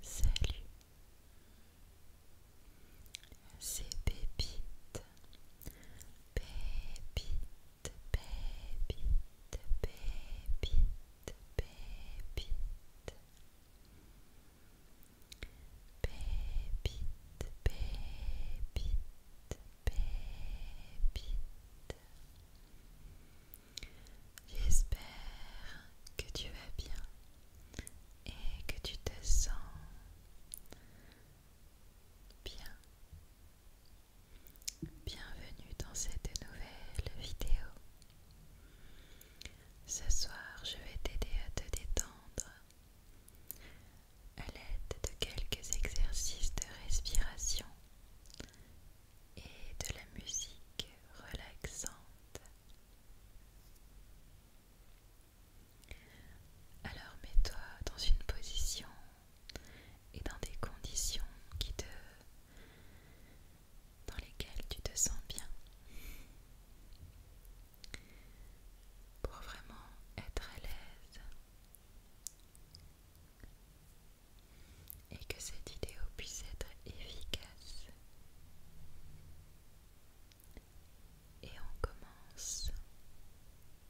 Salut, c'est Pépite, Pépite, Pépite, Pépite, Pépite. Pépite, pépite, pépite. J'espère que tu vas bien et que tu te sens bien. Bienvenue dans cette nouvelle vidéo. Ce soir, je vais t'aider à te détendre à l'aide de quelques exercices de respiration et de la musique relaxante. Alors mets-toi dans une position et dans des conditions qui te dans lesquelles tu te sens bien pour vraiment être à l'aise et que cette vidéo puisse être efficace. Et on commence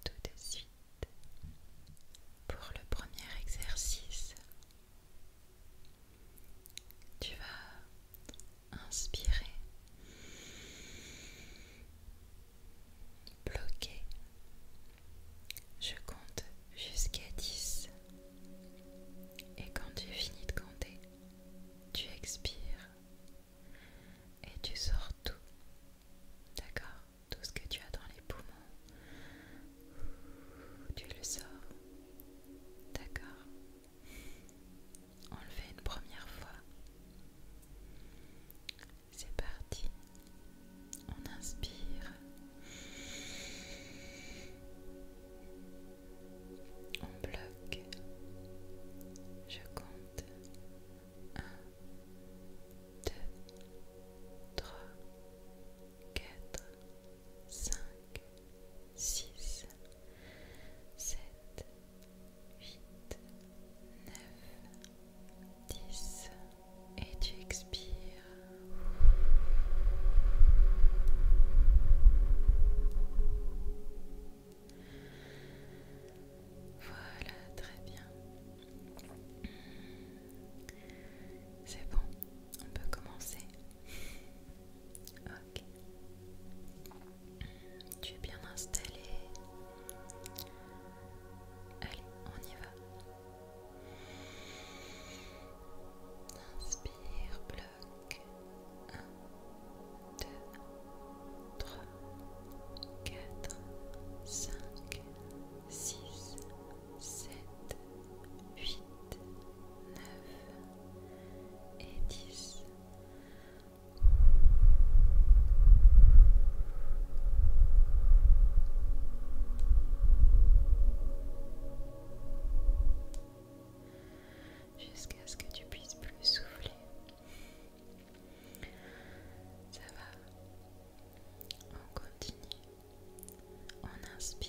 tout de suite pour le premier exercice. Tu vas inspirez, bloqué. Je compte jusqu'à 10 et quand tu finis de compter, tu expires et tu sors tout. D'accord Tout ce que tu as dans les poumons, tu le sors. D'accord enlever une première fois. C'est parti. On inspire. On bloque. Je compte. 1, 2, 3, 4, 5, 6, 7, 8, 9, 10 et tu expires. Voilà, très bien. C'est bon, on peut commencer. Ok. Tu es bien installé. Allez, on y va. Inspire, bloc. 1, 2, 3, 4, 5, 6, 7, 8, 9 et 10 jusqu'à ce que tu puisses plus souffler. Ça va, on continue, on inspire.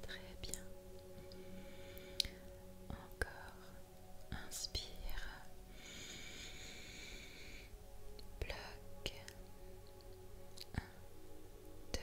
Très bien. Encore. Inspire. Bloc. 1, 2,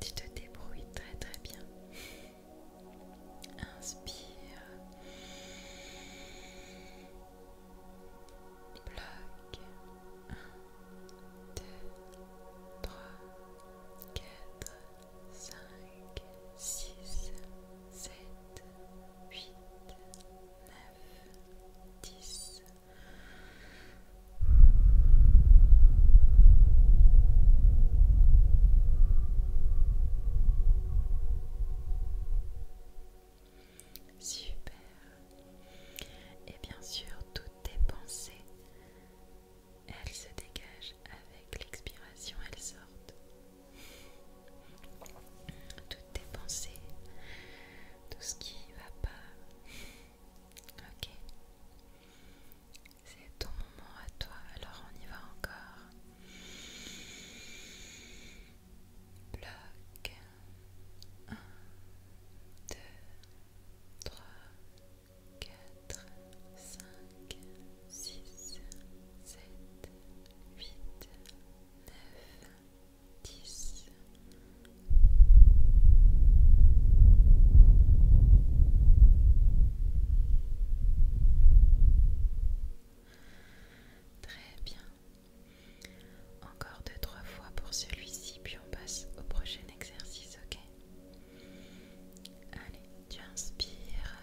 Tu te, débrouilles très très bien. Inspire. Bloc. Un, 2, 3, quatre, cinq, 6, 7, 8, 9, 10. Super. Et bien sûr, toutes tes pensées, elles se dégagent avec l'expiration, elles sortent toutes tes pensées, tout ce qui va pas. Ok. C'est ton moment à toi, alors on y va encore. Bloc un, deux, trois, quatre, cinq, six, sept. 8, 9, 10. Très bien. Encore deux, trois fois pour celui-ci, puis on passe au prochain exercice, ok Allez, tu inspires.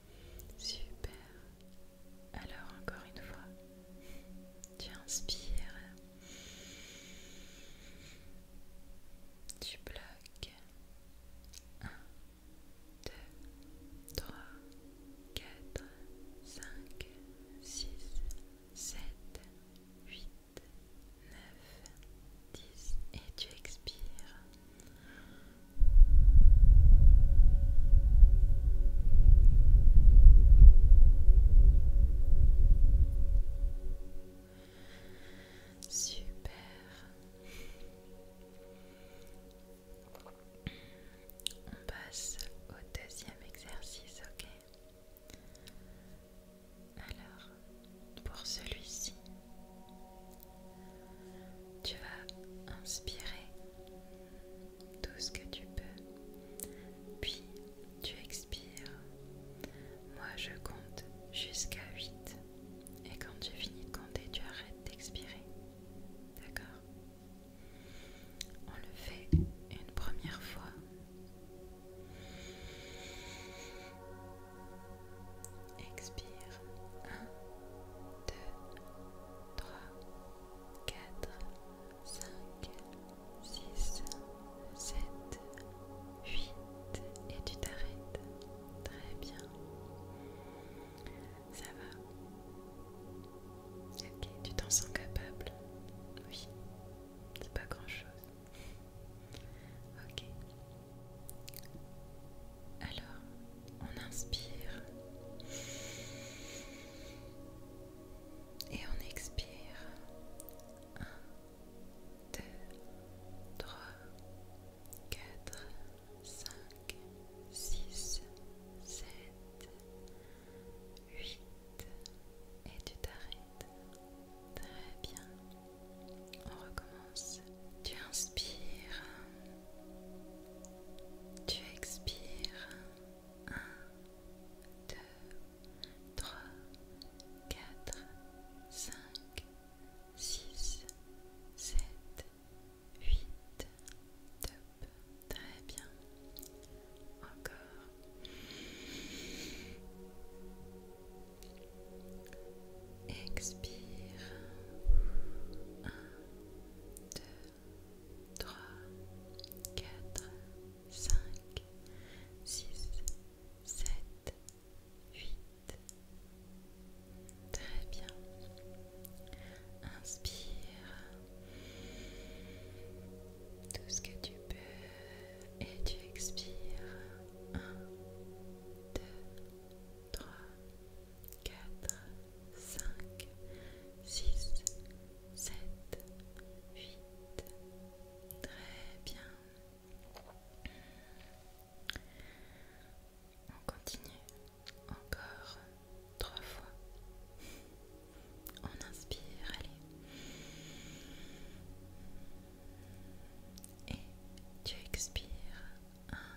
Super. Alors encore une fois, tu inspires, tu bloques. 1, 2, 3, 4, 5, 6, 7, 8, 9, 10 et tu expires. Super. On passe au deuxième exercice, ok Alors, pour celui-ci, tu vas inspirer tout ce que tu peux, puis tu expires. Moi je compte jusqu'à 8 et quand tu finis de compter, tu arrêtes d'expirer. D'accord On le fait une première fois. Expire. 1, 2, 3, 4, 5, 6, 7, 8. Et tu t'arrêtes. Très bien. Ça va. Ok, tu t'en sens capable. Oui. C'est pas grand chose. Ok. Alors, on inspire et on expire. 1, 2, 3, 4, 5, 6, 7, 8. Et tu t'arrêtes. Très bien. On recommence tu inspires, tu expires. 1, 2, 3, 4, 5, 6, 7, 8. Top. Très bien. Encore. Expire. 1, 2, 3, 4, 5, 6, 7, 8. Très bien. Inspire. Tout ce que tu peux et tu expires. 1, 2, 3, 4, 5, 6, 7, 8. Très bien. On continue encore 3 fois. On inspire, allez. Et tu expires. 1,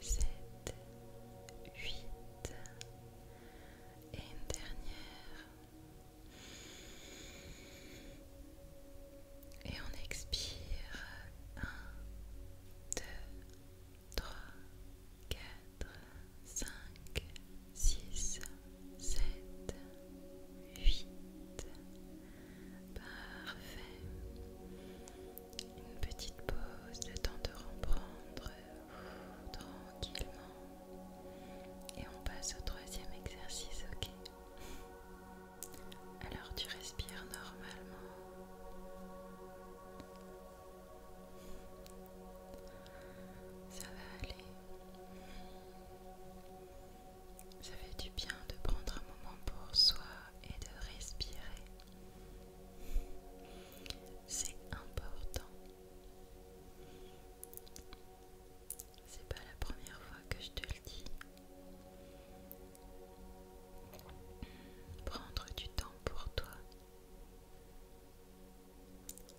7, huit et une dernière. Et on expire. Un, deux, trois, quatre, cinq, six, sept, huit. Parfait. Une petite pause, le temps de reprendre tranquillement. Et on passe au troisième exercice, ok Alors tu respires normalement. Ça va aller. Ça fait du bien de prendre un moment pour soi et de respirer. C'est important. C'est pas la première fois que je te le dis. Prendre du temps pour toi.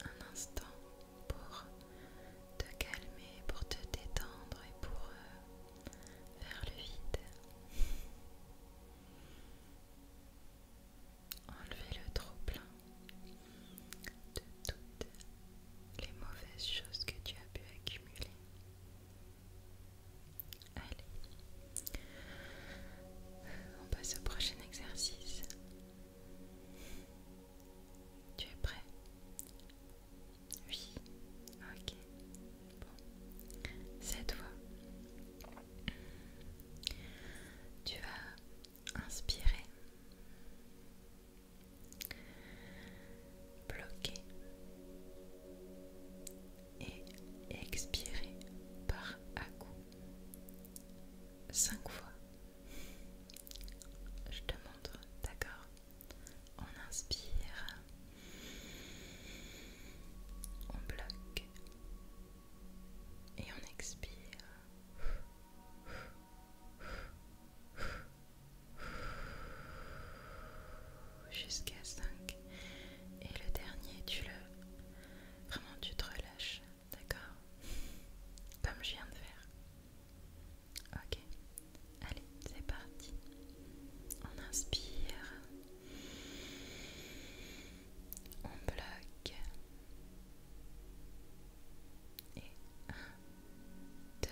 Un instant pour te calmer, pour te détendre et pour euh, vers le vide. Enlevez le trop plein de toutes les mauvaises choses que tu as pu accumuler. Allez, on passe au prochain exercice. Tu es prêt oui, ok. Bon, cette fois, tu vas inspirer, bloquer et expirer par à coup cinq fois. Je te montre, d'accord on inspire. On bloque. Et on expire. Jusqu'à 5. Et le dernier, tu le... Vraiment, tu te relâches, d'accord Comme je viens de faire. Ok. Allez, c'est parti. On inspire. On bloque. Et 1, 2,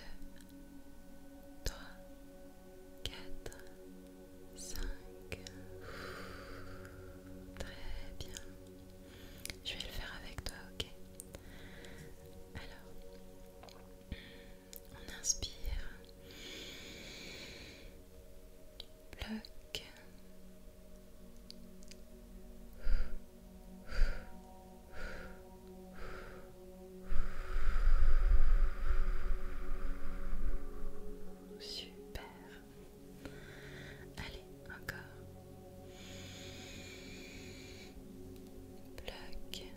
3, 4, 5. Très bien. Je vais le faire avec toi, ok Alors, on inspire. Bloc. Super. Allez, encore. Bloque.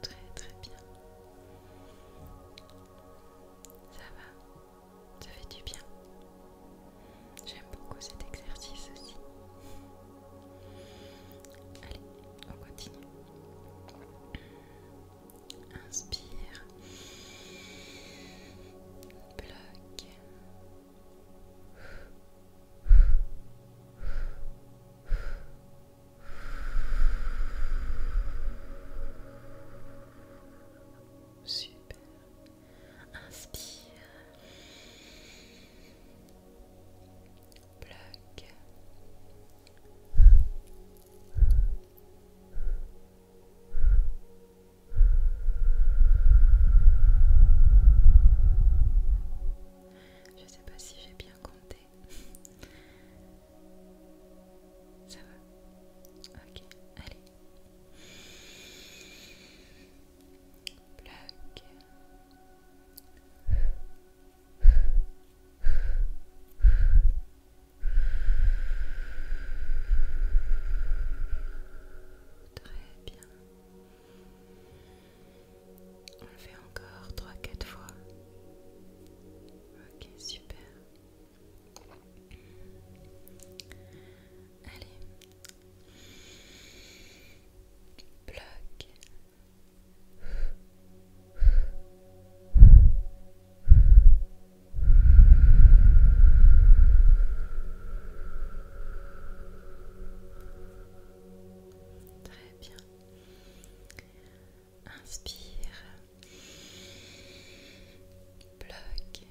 Très très bien. Ça va, ça fait du bien. J'aime beaucoup cet exercice aussi. Allez, on continue. Inspire. Plaque. Super. Inspire. Bloque. Je sais pas si j'ai bien compté. Ça va. Ok, allez. Plaque. Très bien. On le fait encore trois, quatre fois. Ok, super. Allez. Bloc. Très bien. Inspire. Bloque.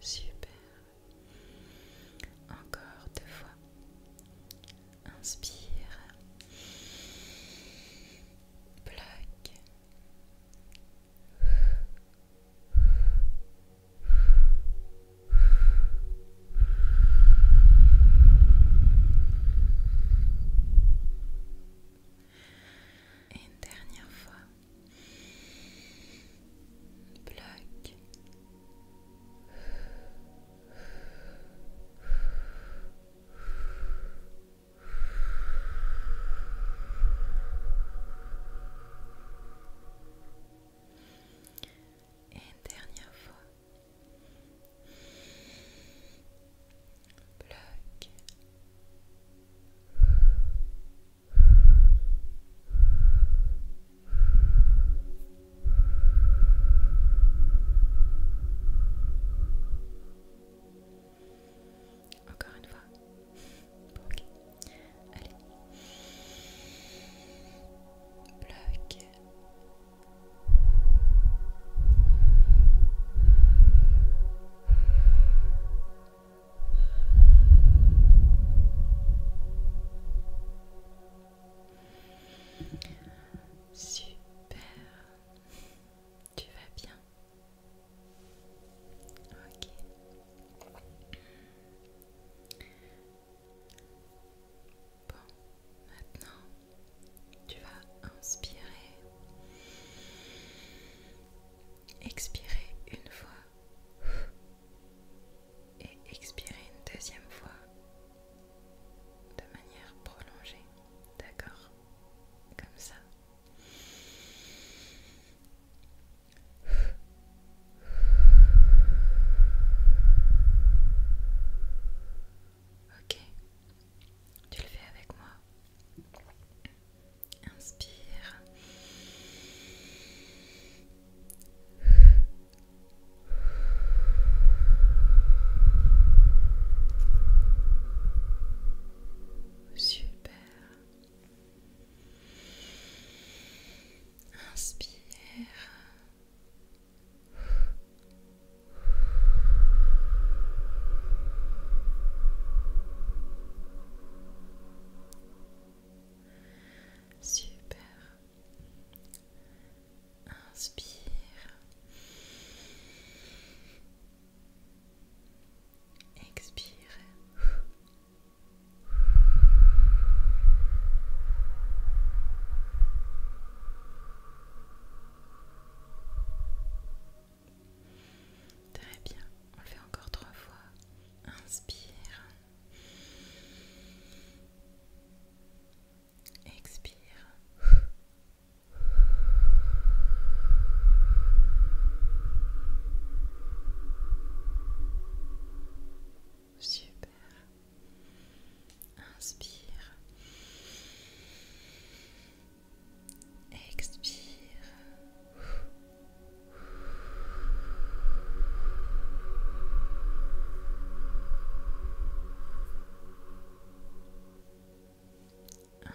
Super. Encore deux fois. Inspire. Plaque. Et une dernière fois. Black. Et une dernière fois. Bloc. Encore une fois. Allez. Bloc. Bloc. Super. Tu vas bien Ok. Bon, maintenant, tu vas inspirer. Expirez une fois et expirez une deuxième fois de manière prolongée. D'accord Comme ça. Ok, tu le fais avec moi. Inspire. Super. Inspire. Super. Inspire. Expire. Très bien, on le fait encore trois fois. Inspire. Expire. Super. Inspire. Expire.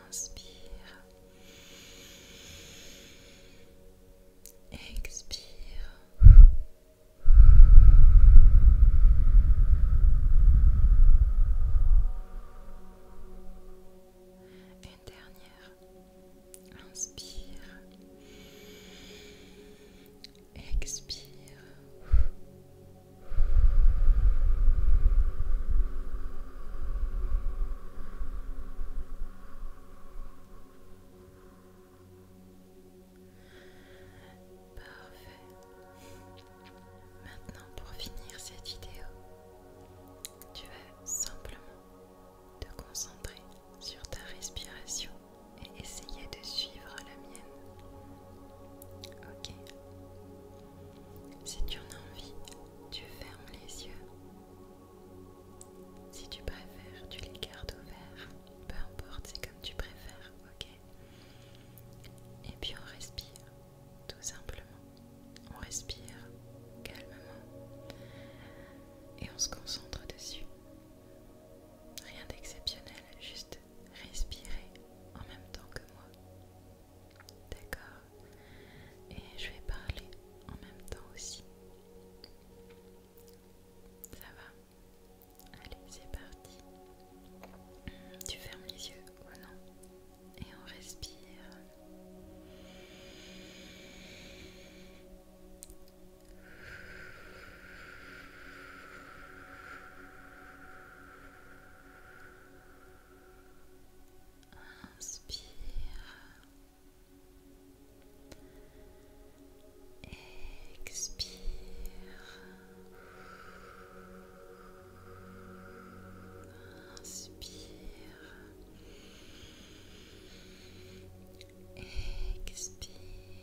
Inspire. Expire dernière. Inspire. Expire. Parfait. Maintenant pour finir cette vidéo, tu vas simplement te concentrer sur ta respiration et essayer de suivre la mienne. Ok Si tu en as envie, tu fermes les yeux. Si tu préfères, tu les gardes ouverts. Peu importe, c'est comme tu préfères, ok Et puis on respire tout simplement. On respire calmement et on se concentre dessus. Rien d'exceptionnel, juste respirer en même temps que moi. D'accord Et je vais parler en même temps aussi. Ça va Allez, c'est parti. Tu fermes les yeux ou non et on respire. Inspire expire. Inspire. Expire. Inspire.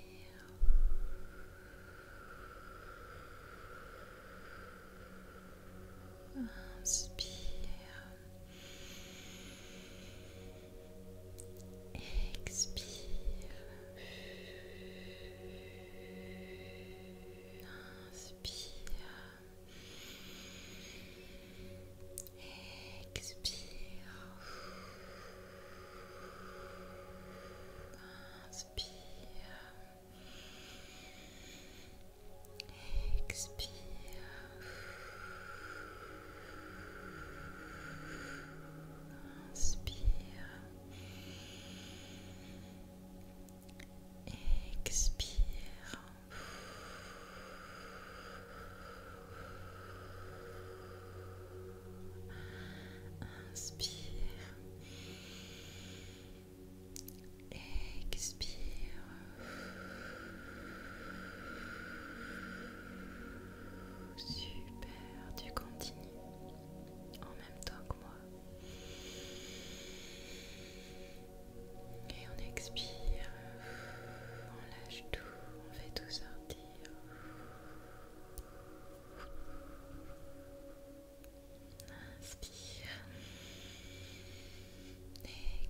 Expire. Inspire. Expire. Inspire. Expire. Inspire. Expire. Inspire. Expire. Super, tu continues en même temps que moi. Et on expire, on lâche tout, on fait tout sortir. Inspire,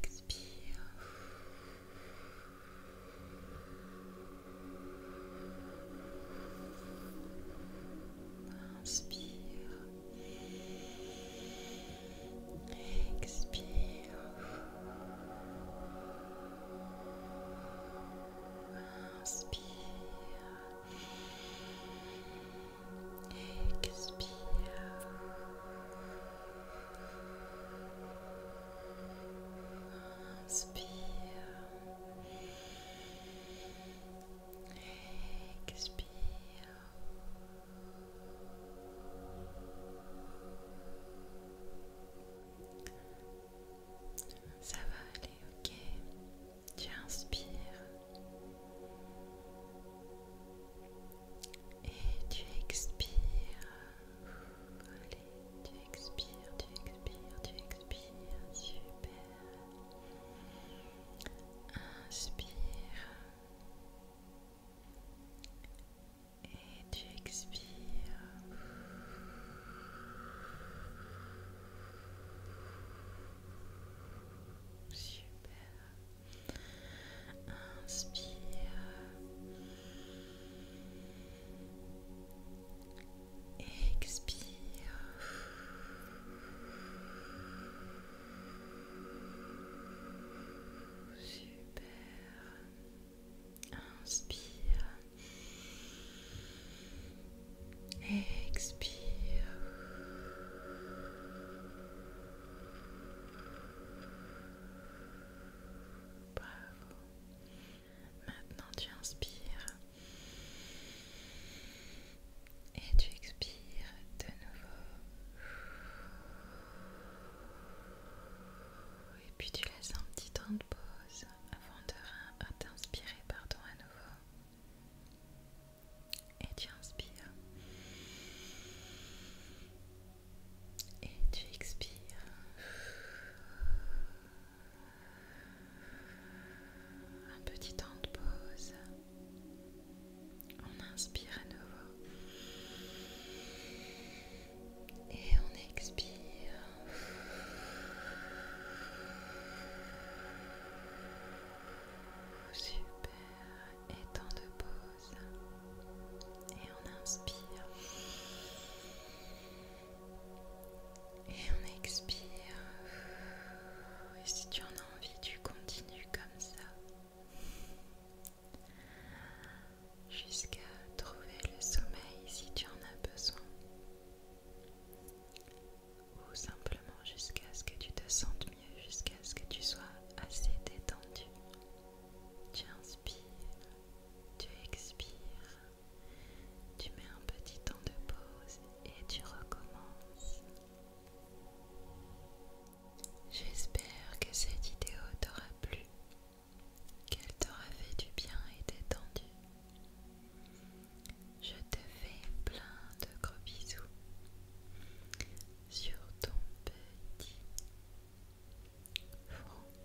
expire. Inspire. Expire. Inspire. Expire. Inspire. Expire. Ça va aller, ok. Tu inspires et tu expires. Allez, tu expires, tu expires, tu expires. Super. Inspire. Et tu expires. Super. Inspire. Expire. Super. Inspire. Expire. Bravo. Maintenant tu inspires et tu expires de nouveau. Et puis tu laisses un petit temps de pause avant de t'inspirer pardon à nouveau. Et tu inspires. Et tu expires. Un petit temps de pause on inspire à nouveau. Et on expire. Oh, super. Et temps de pause. Et on inspire. Et on expire. Et si tu en as envie, tu continues comme ça jusqu'à trouver le sommeil si tu en as besoin ou simplement jusqu'à ce que tu te sentes mieux, jusqu'à ce que tu sois assez détendu. Tu inspires, tu expires, tu mets un petit temps de pause et tu recommences. J'espère que cette vidéo t'aura plu, qu'elle t'aura fait du bien et détendu. Je te fais plein de gros bisous sur ton petit front.